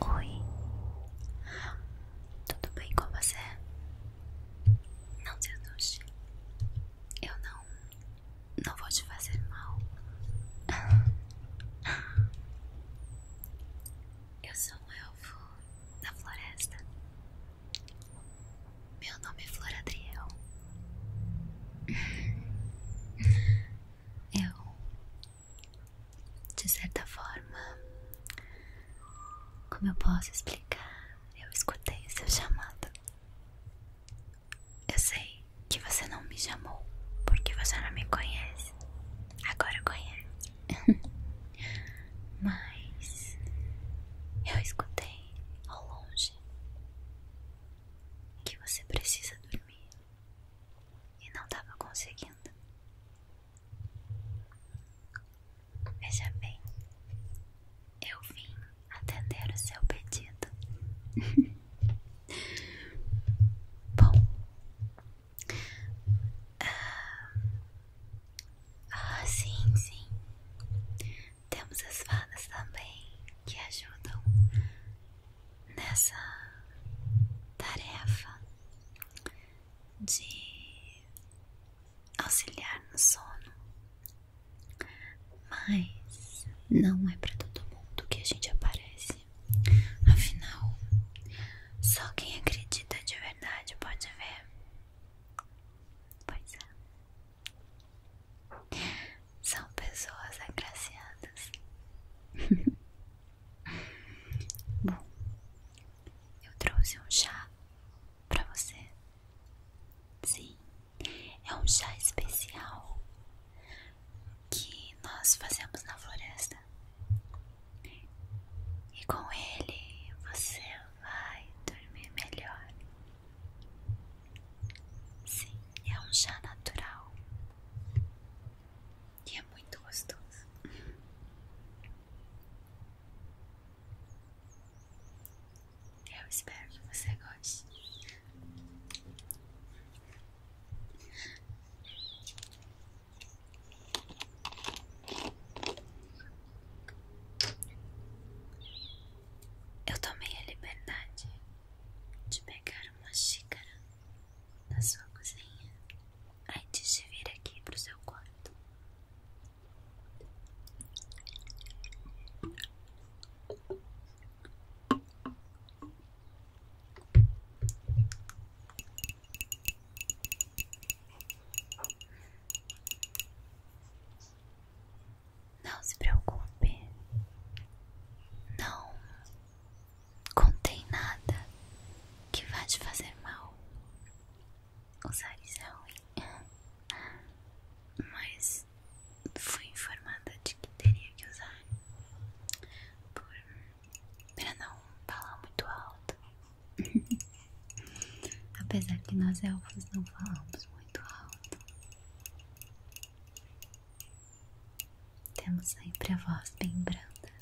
Oi, tudo bem com você? Não se assuste, eu não, não vou te fazer mal. Eu sou um elfo da floresta. Meu nome é Floradriel. Eu de certa forma, como eu posso explicar, eu escutei seu chamado. Eu sei que você não me chamou porque você não me conhece. Agora conhece. Mas eu escutei ao longe que você precisa dormir e não estava conseguindo. Veja bem, eu vim atender o seu pedido. Bom, ah, ah, sim, sim. Temos as fadas também que ajudam nessa tarefa de auxiliar no sono, mas não é para todo mundo que a gente aparece. Afinal, só quem acredita de verdade pode ver. Pois é, são pessoas agraciadas. Bom, eu trouxe um chá para você. Sim, é um chá especial que nós fazemos na floresta. E com ele você vai dormir melhor. Sim, é um chá natural que é muito gostoso. Eu espero que você goste. Eu tomei a liberdade de pegar uma xícara na sua cozinha antes de vir aqui para o seu quarto. Não se preocupe, não contei nada que vá te fazer mal. Usar isso mas fui informada de que teria que usar por, para não falar muito alto. Apesar que nós elfos não falamos muito alto. Temos sempre a voz bem branda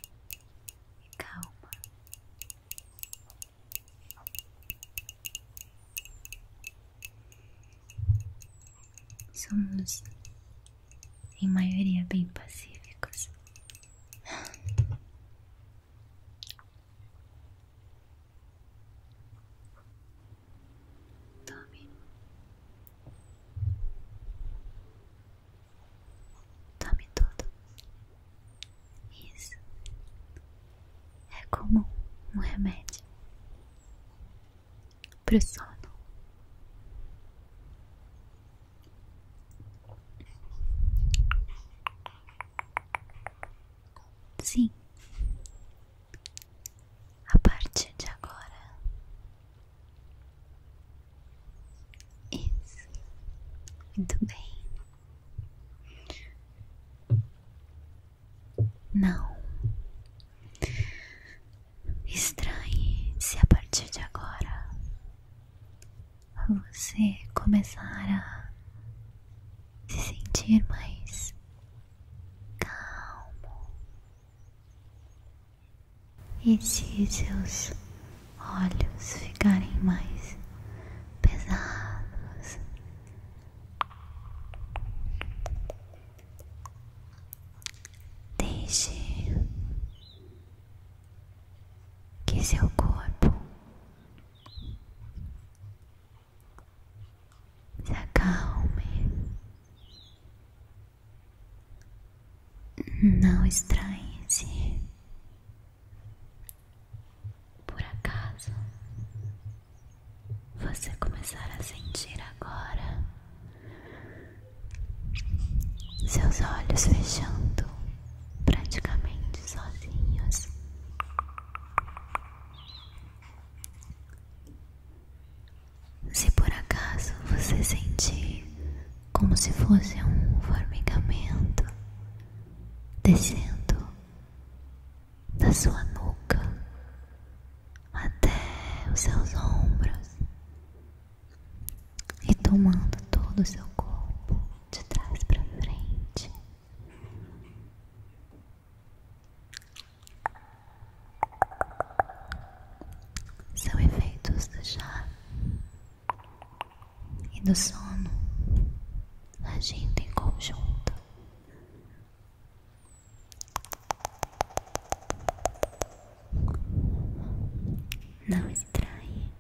e calma. Somos, em maioria, bem pacíficos. Tome. Tome tudo. Isso. É como um remédio para o sono. Sim, a partir de agora. Isso, muito bem. Não estranhe se a partir de agora você começar a se sentir mais calmo e se seus olhos ficarem mais pesados, deixe que seu corpo se acalme não estranhe-se. Por acaso, você começar a sentir agora seus olhos fechando praticamente sozinhos. Se por acaso você sentir como se fosse um formigamento descendo da sua nuca até os seus ombros e tomando todo o seu corpo de trás para frente, são efeitos do chá e do sono agindo em conjunto. Não estranhe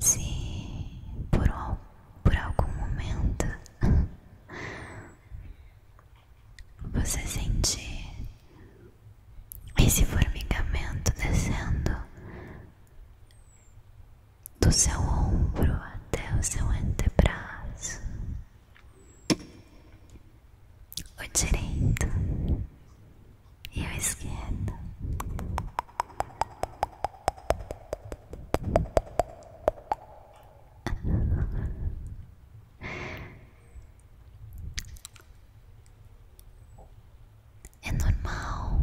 se por, por algum momento você sentir esse formigamento descendo do seu ombro até o seu antebraço, o direito e o esquerdo. É normal,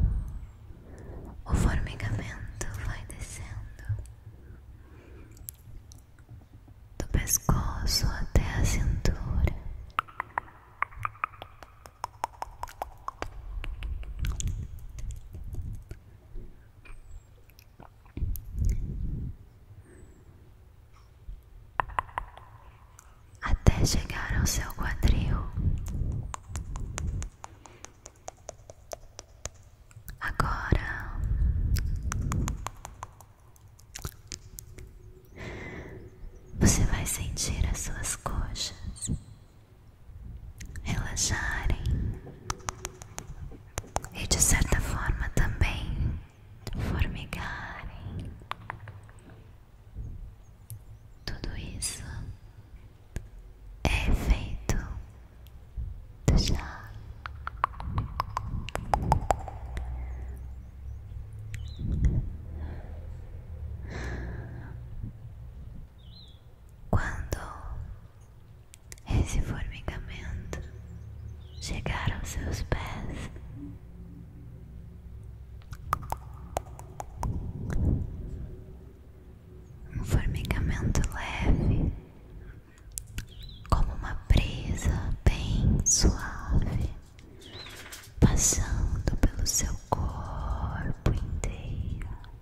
o formigamento vai descendo do pescoço até a cintura até chegar ao seu quadril. Agora você vai sentir as suas coxas relaxarem e de certa forma também formigarem. Tudo isso é feito do chá. Quando esse formigamento chegar aos seus pés. Um formigamento leve, como uma brisa bem suave, passando pelo seu corpo inteiro.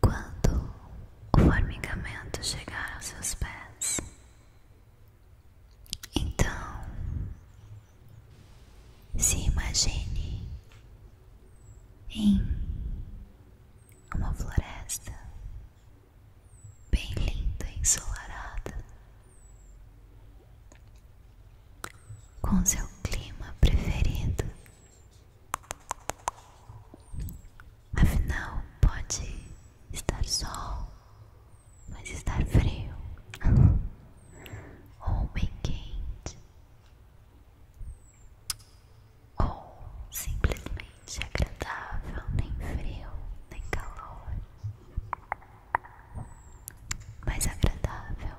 Quando o formigamento chegar aos seus pés, então se imagine em uma floresta bem linda e ensolarada, com seu clima preferido Afinal, pode estar sol, mas estar frio ou bem quente, ou simplesmente agradável, nem frio, nem calor, mas agradável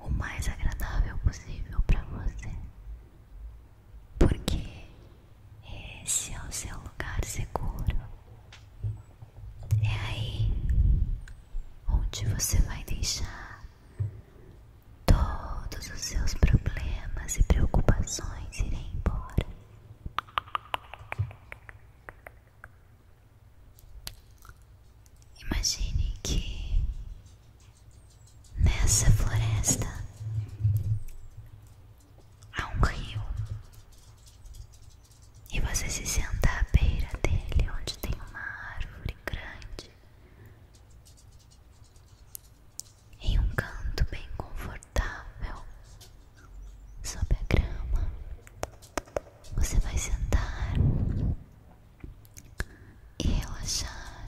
o mais agradável possível para você, porque esse é o seu lugar seguro. É aí onde você vai deixar todos os seus problemas e preocupações irem embora. Imagine que nessa floresta há um rio e você se senta à beira dele, onde tem uma árvore grande em um canto bem confortável sob a grama. Você vai sentar e relaxar.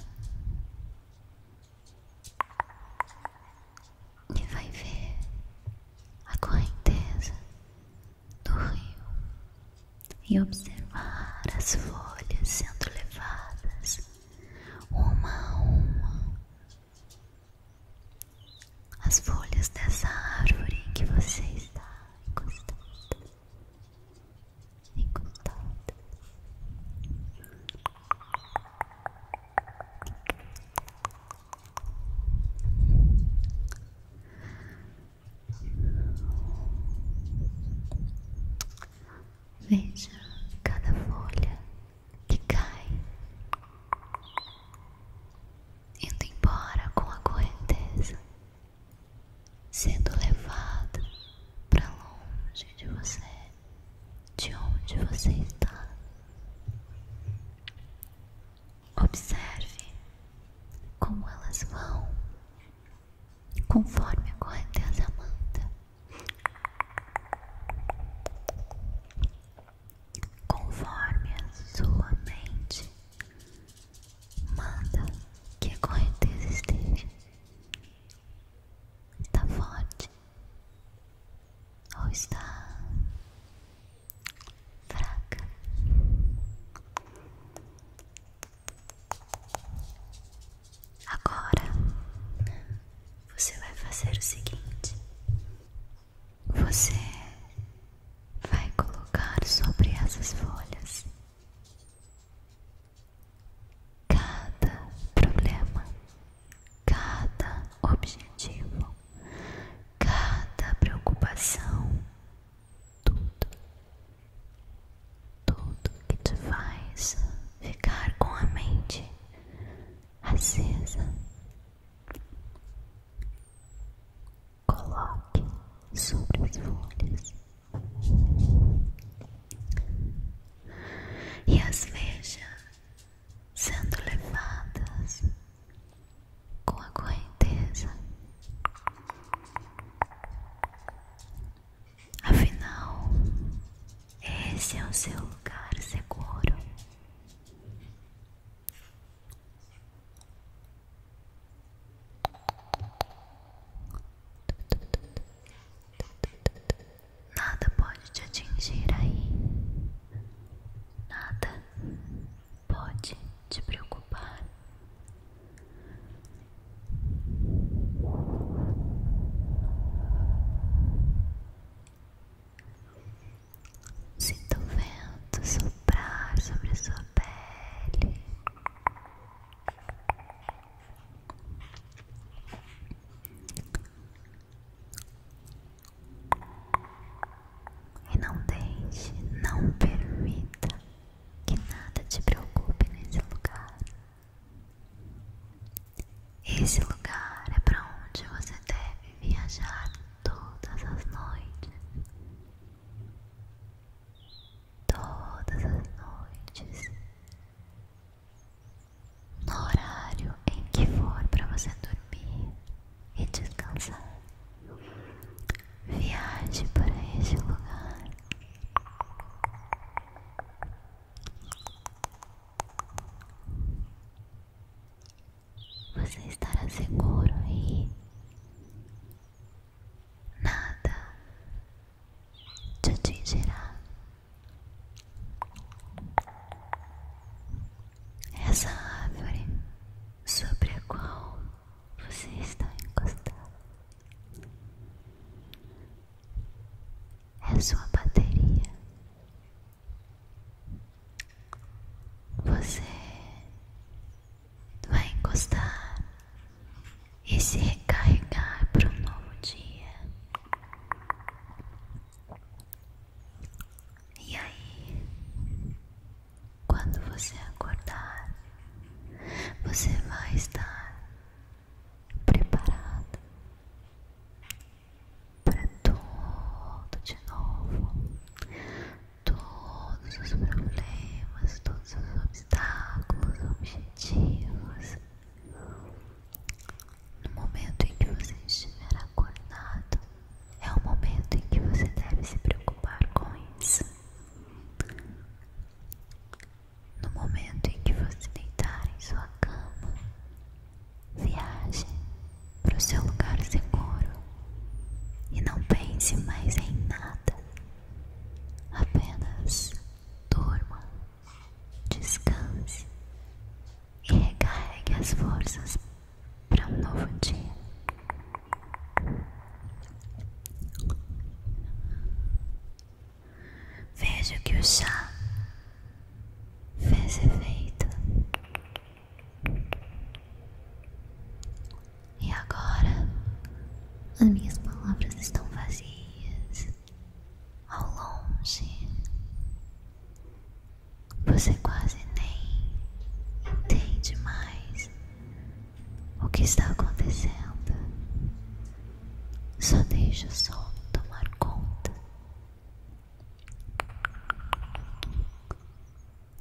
E vai ver a correnteza do rio e observar as folhas sendo levadas uma a uma. As folhas dessa árvore em que você está encostada em Veja cada folha que cai indo embora com a correnteza sendo levado para longe de você, de onde você está. Observe como elas vão conforme a correnteza manda, conforme a sua mente Manda que a correnteza esteja. Está forte ou está fraca? Agora você vai fazer o seguinte: você vai colocar sobre essas folhas cada problema, cada objetivo, cada preocupação, tudo, tudo que te faz ficar com a mente acesa. Coloque sobre as folhas e as veja sendo levadas com a correnteza. Afinal, esse é o seu lugar seguro. Nada pode te atingir aí. Nada pode te preocupar sinto o vento soprar sobre sua pele. E não deixe, não permita que nada te preocupe nesse lugar. Esse lugar é para onde você deve viajar todas as noites todas as noites, no horário em que for para você dormir e descansar. Viaje para este lugar. Você estará seguro e nada te atingirá. Essa árvore sobre a qual você está encostado é sua bateria. Você vai encostar e se recarregar para um novo dia. E aí, quando você acordar, você vai estar preparado para tudo de novo todos os problemas, todos os obstáculos, objetivos. No momento em que você estiver acordado, é o momento em que você deve se preocupar com isso. No momento em que você deitar em sua cama, viaje para o seu lugar seguro e não pense mais em nada. Apenas durma, descanse e recarregue as forças para um novo dia. Vejo que o chá fez efeito e agora, as minhas palavras estão vazias. Ao longe, você quase nem entende mais o que está acontecendo. Só deixa o sol tomar conta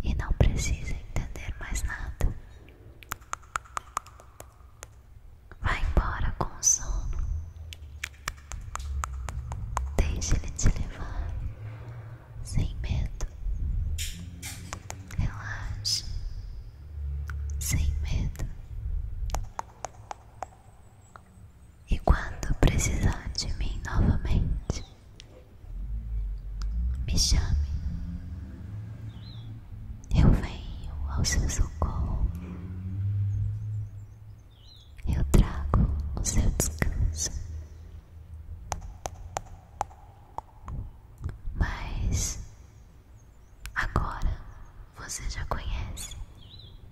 e não precisa entender mais nada. Vai embora com o sono. Deixe ele te levar sem medo. Relaxe sem medo. E quando precisar de mim novamente, me chame, eu venho ao seu socorro, eu trago o seu descanso. Mas agora você já conhece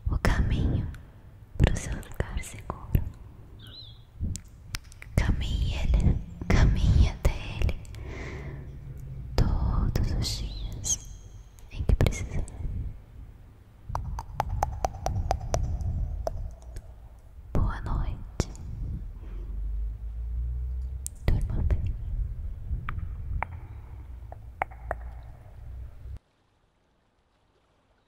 o caminho para o seu lugar seguro. Caminhe, ele, caminha até ele todos os dias em que precisar. Boa noite. dorme bem.